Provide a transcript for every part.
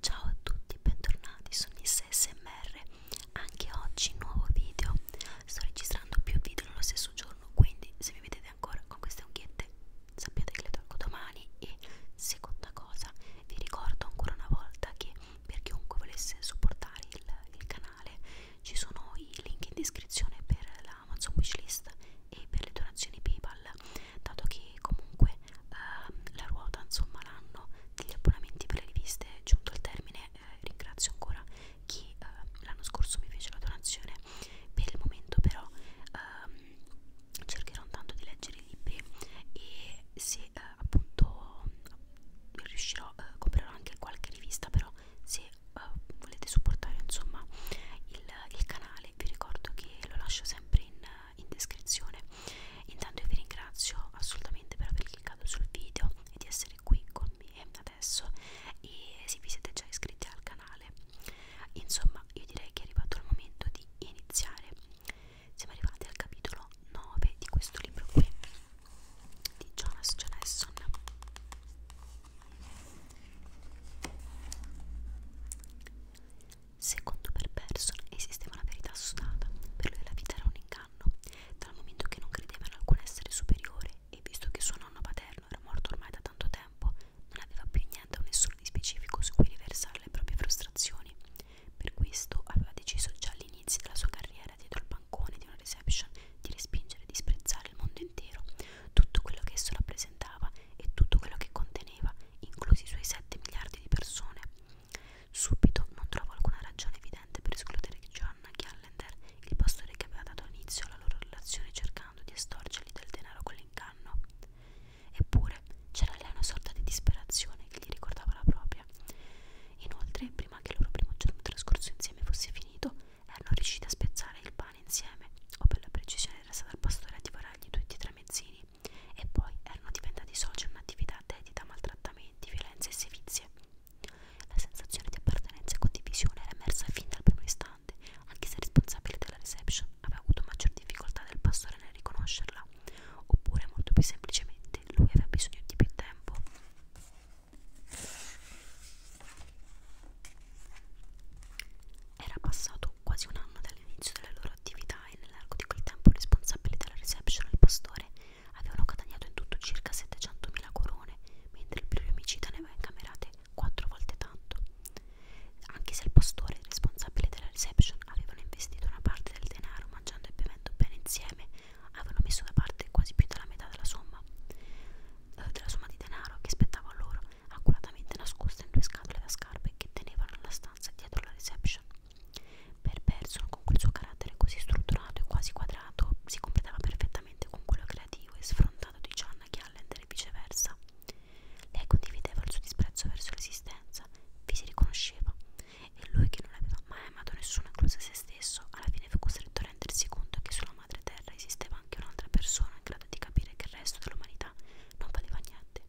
Ciao a tutti, bentornati su Miss SMR. Anche oggi nuovo video. Sto registrando più video nello stesso giorno, quindi se mi vedete ancora con queste unghiette sappiate che le tolgo domani. E seconda cosa, vi ricordo ancora una volta che per chiunque volesse supportare il, il canale ci sono i link in descrizione per la Amazon Wishlist e per le donazioni PayPal dato che comunque eh, la ruota insomma l'hanno degli abbonamenti per le riviste giunto al termine eh, ringrazio ancora chi eh, l'anno scorso mi fece la donazione per il momento però ehm, cercherò intanto di leggere i libri e se eh, appunto riuscirò eh, comprerò anche qualche rivista però se eh, volete supportare insomma il, il canale vi ricordo che lo lascio sempre in in descrizione intanto io vi ringrazio assolutamente per aver cliccato sul video e di essere qui con me adesso e se vi siete già iscritti al canale insomma io direi che è arrivato il momento di iniziare siamo arrivati al capitolo 9 di questo libro qui di Jonas Johnson Secondo per Person esisteva una verità assodata, per lui la vita era un inganno, dal momento che non credeva in alcun essere superiore e visto che suo nonno paterno era morto ormai da tanto tempo, non aveva più niente o nessuno di specifico su cui riversare le proprie frustrazioni. Per questo aveva deciso già all'inizio della sua carriera dietro al bancone di una reception di respingere e disprezzare il mondo intero, tutto quello che esso rappresentava e tutto quello che conteneva, inclusi i suoi 7 miliardi di persone. Subito non trovo alcuna ragione evidente per escludere Joanna Gallender, il pastore che aveva dato inizio alla loro relazione cercando di estorcergli del denaro con l'inganno. Eppure c'era lei una sorta di disperazione che gli ricordava la propria. Inoltre, prima che il loro primo giorno trascorso insieme fosse finito, erano riusciti a spezzare il pane insieme, o per la precisione era stata il pastore a divorargli tutti e tre mezzini, e poi erano diventati soci in un'attività dedita a maltrattamenti, violenze e sevizie. La sensazione di appartenenza e condivisione era emersa fin dal primo istante, anche se il responsabile della reception aveva avuto maggior difficoltà del pastore nel riconoscerla, oppure molto più semplicemente lui aveva bisogno di più tempo. Era passato passato quasi un anno dall'inizio della loro attività e nell'arco di quel tempo i responsabili della reception e il pastore avevano guadagnato in tutto circa 700.000 corone, mentre il pluriomicida ne aveva incamerate 4 volte tanto. Anche se il pastore e il responsabile della reception avevano investito una parte del denaro mangiando e bevendo bene insieme, avevano messo da parte quasi più della metà della somma, eh, della somma di denaro che spettava a loro accuratamente nascosta in due scatole da scarpe che tenevano la stanza dietro la reception. Per Person, con quel suo carattere così strutturato e quasi quadrato, si completava perfettamente con quello creativo e sfrontato di Gianna Gallender e viceversa. Lei condivideva il suo disprezzo verso l'esistenza, vi si riconosceva, e lui, che non aveva mai amato nessuno, incluso se stesso, alla fine fu costretto a rendersi conto che sulla madre terra esisteva anche un'altra persona in grado di capire che il resto dell'umanità non valeva niente progetti.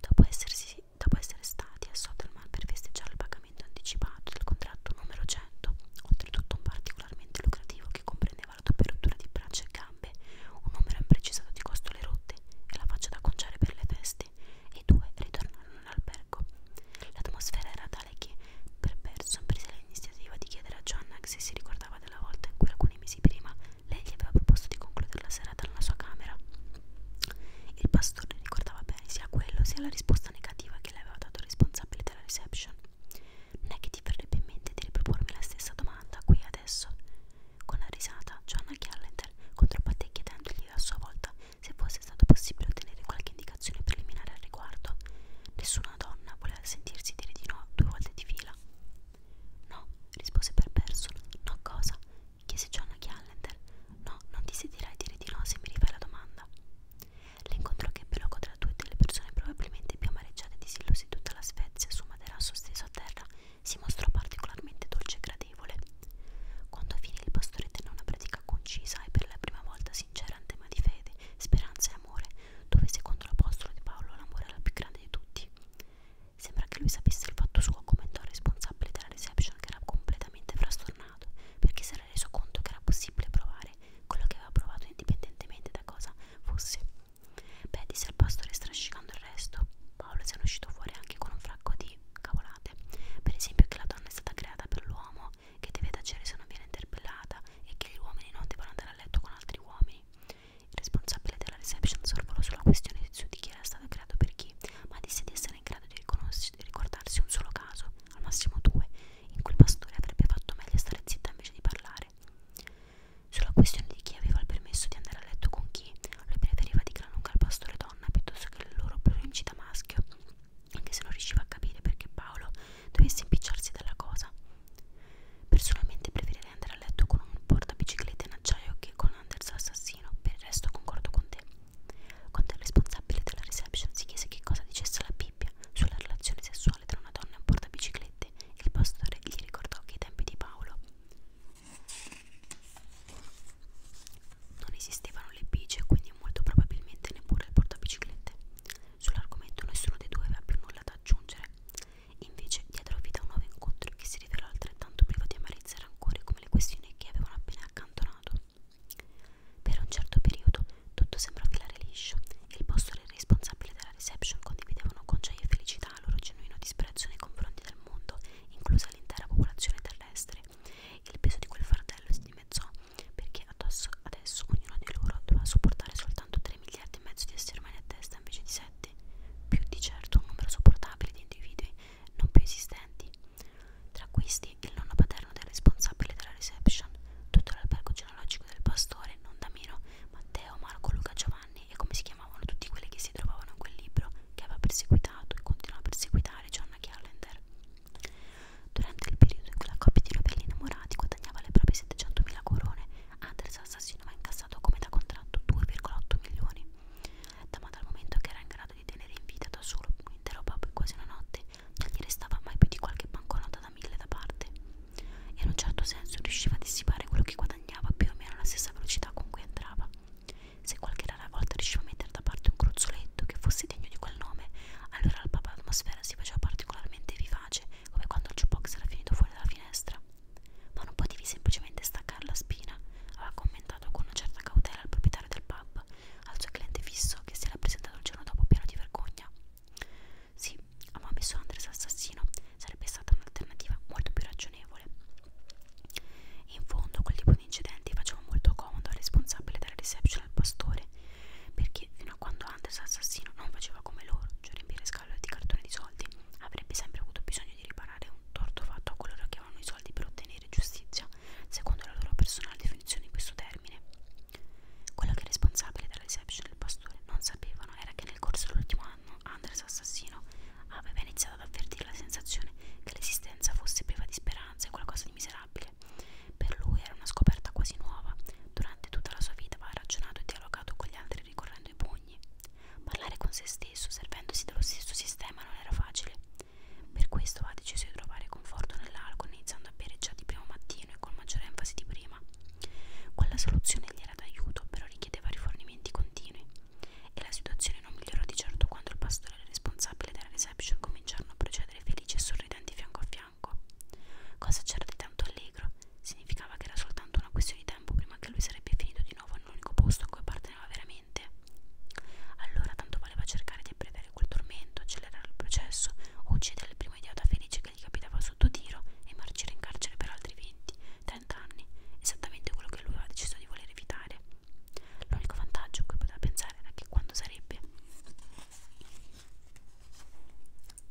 Dopo, essersi, dopo essere stati a Soderman per festeggiare il pagamento anticipato del contratto numero 100, oltretutto un particolarmente lucrativo che comprendeva la doppia rottura di braccia e gambe, un numero imprecisato di costole rotte e la faccia da conciare per le feste, e i due ritornarono all'albergo. L'atmosfera era tale che, per Berson, prese l'iniziativa di chiedere a Joanna se si ricordava della volta in cui alcuni mesi prima lei gli aveva proposto di concludere la serata nella sua camera. Il pastore ricordava bene sia quello sia la risposta negativa che le aveva dato il responsabile della reception. Non è che ti verrebbe in mente di ripropormi la stessa domanda qui adesso? Con la risata, Joanna Callender controbatté chiedendogli a sua volta se fosse stato possibile ottenere qualche indicazione preliminare al riguardo. Nessuna donna voleva sentirsi dire di no due volte di fila. No, rispose Perperson. No, cosa? chiese John a Callender. No, non ti sentirai dire di no se mi rifai la domanda. L'incontro che ebbe luogo tra due delle persone probabilmente più amareggiate e disilluse di tutta la Svezia su un materasso steso a terra si mostrò particolarmente dolce e gradevole. Quando finì il pastore tenne una pratica concisa e per la prima volta sincera in tema di fede, speranza e amore, dove secondo l'apostolo di Paolo l'amore era il più grande di tutti. Sembra che lui sapesse il fatto suo, commentò il responsabile della reception che era completamente frastornato, perché si era reso conto che era possibile provare quello che aveva provato indipendentemente da cosa fosse. Beh, disse al pastore strascicando il resto, Paolo se ne è uscito fuori anche con un fracco di cavolate, per esempio che la donna è stata creata per l'uomo, che deve tacere se non viene interpellata e che gli uomini non devono andare a letto con altri uomini. Il responsabile della reception sorvolò sulla questione di su di chi era stato creato per chi, ma disse di essere in grado di, di ricordarsi un solo caso, al massimo due, in cui il pastore avrebbe fatto meglio stare zitta invece di parlare. Sulla questione di chi aveva il permesso di andare a letto con chi, lui preferiva di gran lunga il pastore donna piuttosto che il loro plurincita maschio, anche se non riusciva a capire perché Paolo dovesse impicciarsi della cosa. Personalmente preferirei andare a letto con un portabiciclette in acciaio che con Anders assassino, per il resto concordo con te. Quando il responsabile della reception si chiese che cosa dicesse la Bibbia sulla relazione sessuale tra una donna e un portabiciclette, il pastore gli ricordò che ai tempi di Paolo non esistevano le bici e quindi molto probabilmente neppure il portabiciclette. Sull'argomento nessuno dei due aveva più nulla da aggiungere. Invece diedero vita a un nuovo incontro che si rivelò altrettanto privo di amarezza e rancore come le questioni che avevano appena accantonato. Per un certo periodo tutto sembrò filare liscio e il postore e il responsabile della reception condividevano con gioia e felicità il loro genuino disprezzo nei confronti del mondo, inclusa l'intera popolazione terrestre. Il peso di quel fardello si dimezzò perché addosso adesso ognuno di loro doveva sopportare soltanto tre 3 miliardi e mezzo di esseri umani a testa invece di 7, più di certo un numero sopportabile di individui non più esistenti. Tra questi il nonno paterno del responsabile della reception, tutto l'albergo genealogico del pastore, non da meno, Matteo, Marco, Luca, Giovanni e come si chiamavano tutti quelli che si trovavano in quel libro che aveva perseguitato e continua a perseguitare Gianna Callender. Durante il periodo in cui la coppia di novelli innamorati guadagnava le proprie 700.000 corone Anders Assassino aveva incassato come da contratto 2,8 milioni. Damato al momento che era in grado di tenere in vita da solo un intero pub quasi una notte, non gli restava mai più di qualche banconota da mille da parte. E in un certo senso riusciva a dissipare quello che guadagnava più o meno alla stessa velocità con cui entrava. Se qualche rara volta riusciva a mettere da parte un gruzzoletto che fosse degno di quel nome, allora la pub atmosfera si faceva particolarmente vivace come quando il jukebox era finito fuori dalla finestra. Ma non potevi semplicemente staccare la spina, aveva commentato con una certa cautela il proprietario del pub, al suo cliente fisso che si era presentato il giorno dopo pieno di vergogna. Sì, a Mami su Andres assassino sarebbe stata un'alternativa molto più ragionevole. In fondo, quel tipo di incidenti faceva molto comodo al responsabile della reception al pastore perché fino a quando Anders assassino non faceva come loro, cioè riempire scatole di cartone di soldi, avrebbe sempre avuto bisogno di riparare un torto fatto a coloro che avevano i soldi per ottenere giustizia, secondo la loro personale definizione di questo termine. Quello che è responsabile della reception del pastore non sapevano era che nel corso dell'ultimo anno Anders assassino aveva iniziato ad avvertire la sensazione che l'esistenza fosse priva di speranza e qualcosa di miserabile. Per lui era una scoperta quasi nuova. Durante tutta la sua vita aveva ragionato e dialogato con gli altri ricorrendo ai pugni. Parlare con se stesso, servendosi dello stesso sistema, non era facile. Per questo ha deciso di trovare conforto nell'alcol, iniziando a bere già di primo mattino e con maggiore enfasi di prima. Quella soluzione gli era d'aiuto, però richiedeva rifornimenti continui. E la situazione non migliorò di certo quando il pastore responsabile della reception cominciarono a procedere felici e sorridenti fianco a fianco fianco. Cosa c'era di tanto allegro? Significava che era soltanto una questione di tempo prima che lui sarebbe finito di nuovo nell'unico posto a cui apparteneva veramente. Allora tanto valeva cercare di abbreviare quel tormento, accelerare il processo, uccidere il primo idiota felice che gli capitava sotto tiro e marcire in carcere per altri 20, 30 anni, esattamente quello che lui aveva deciso di voler evitare. L'unico vantaggio a cui poteva pensare era che quando sarebbe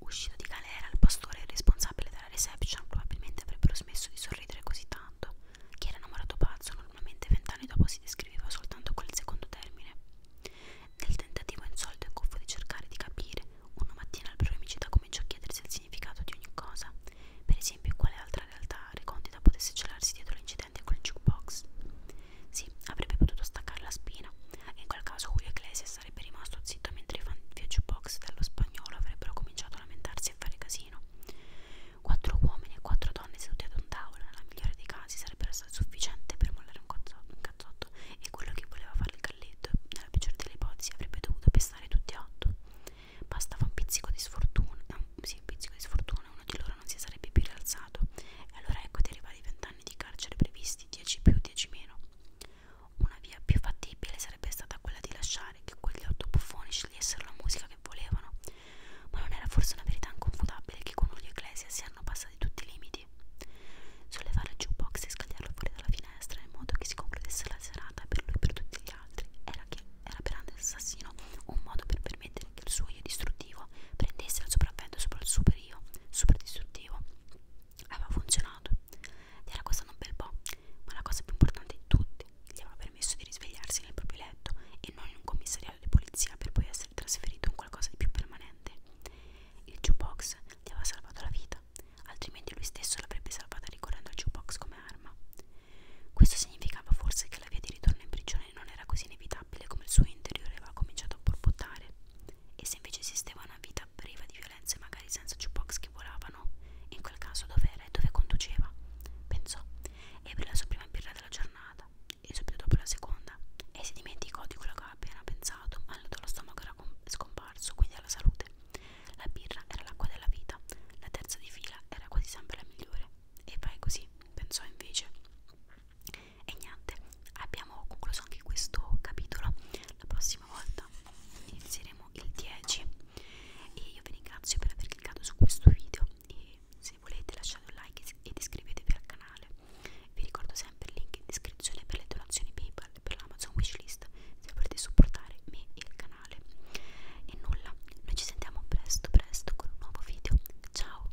Uscito di galera, il pastore e il responsabile della reception probabilmente avrebbero smesso di sorridere così tanto. Chi era innamorato pazzo normalmente vent'anni dopo si descriveva soltanto quel secondo termine. Nel tentativo insolito e cuffo di cercare di capire, una mattina il proemicida cominciò a chiedersi il significato di ogni cosa, per esempio quale altra realtà recondita potesse celarsi dietro l'incidente col jukebox. Sì, avrebbe potuto staccare la spina, e in quel caso Julio Iglesias sarebbe rimasto zitto mentre i fan viaggio box dello spagnolo avrebbero cominciato a lamentarsi e fare casino. Quattro uomini e quattro donne seduti ad un tavolo, nella migliore dei casi, sarebbero stati sufficienti per mollare un, cazzo, un cazzotto e quello che voleva fare il galletto, nella peggiore delle ipotesi, avrebbe dovuto pestare tutti e otto. Bastava un pizzico di sfortuna, eh, sì, un pizzico di sfortuna, uno di loro non si sarebbe più rialzato. E allora ecco ti arrivati i vent'anni di carcere previsti, 10 più, 10 meno. Una via più fattibile sarebbe stata quella di lasciare che quegli otto buffoni scegliessero la musica che volevano, ma non era forse una verità inconfutabile che con Julio Ecclesia si erano passati tutti i limiti. Sollevare il jukebox e scagliarlo fuori dalla finestra in modo che si concludesse la serata per lui e per tutti gli altri era, che, era per Anders Assassino un modo per permettere che il suo io distruttivo prendesse il sopravvento sopra il super io, super distruttivo aveva funzionato gli era costato un bel po' ma la cosa più importante di tutti gli aveva permesso di risvegliarsi nel proprio letto e non in un commissariato di polizia per poi essere trasferito in qualcosa di più permanente il jukebox gli aveva salvato la vita altrimenti lui stesso l'avrebbe salvata ricorrendo al jukebox come arma questo significava forse che la via di ritorno in prigione non era così inevitabile come il suo interiore aveva cominciato a borbottare e se invece esisteva una vita priva di violenze, magari senza jukebox che volavano, in quel caso dove era e dove conduceva? Pensò, ebbe la sua prima birra della giornata, e subito dopo la seconda, e si dimenticò di quello che aveva appena pensato, ma lo stomaco era scomparso, quindi alla salute. La birra era l'acqua della vita, la terza di fila era quasi sempre la migliore. E vai così, pensò invece e niente abbiamo concluso anche questo capitolo la prossima volta inizieremo il 10 e io vi ringrazio per aver cliccato su questo video e se volete lasciate un like ed iscrivetevi al canale vi ricordo sempre il link in descrizione per le donazioni paypal per l'amazon wishlist se volete supportare me e il canale e nulla noi ci sentiamo presto presto con un nuovo video ciao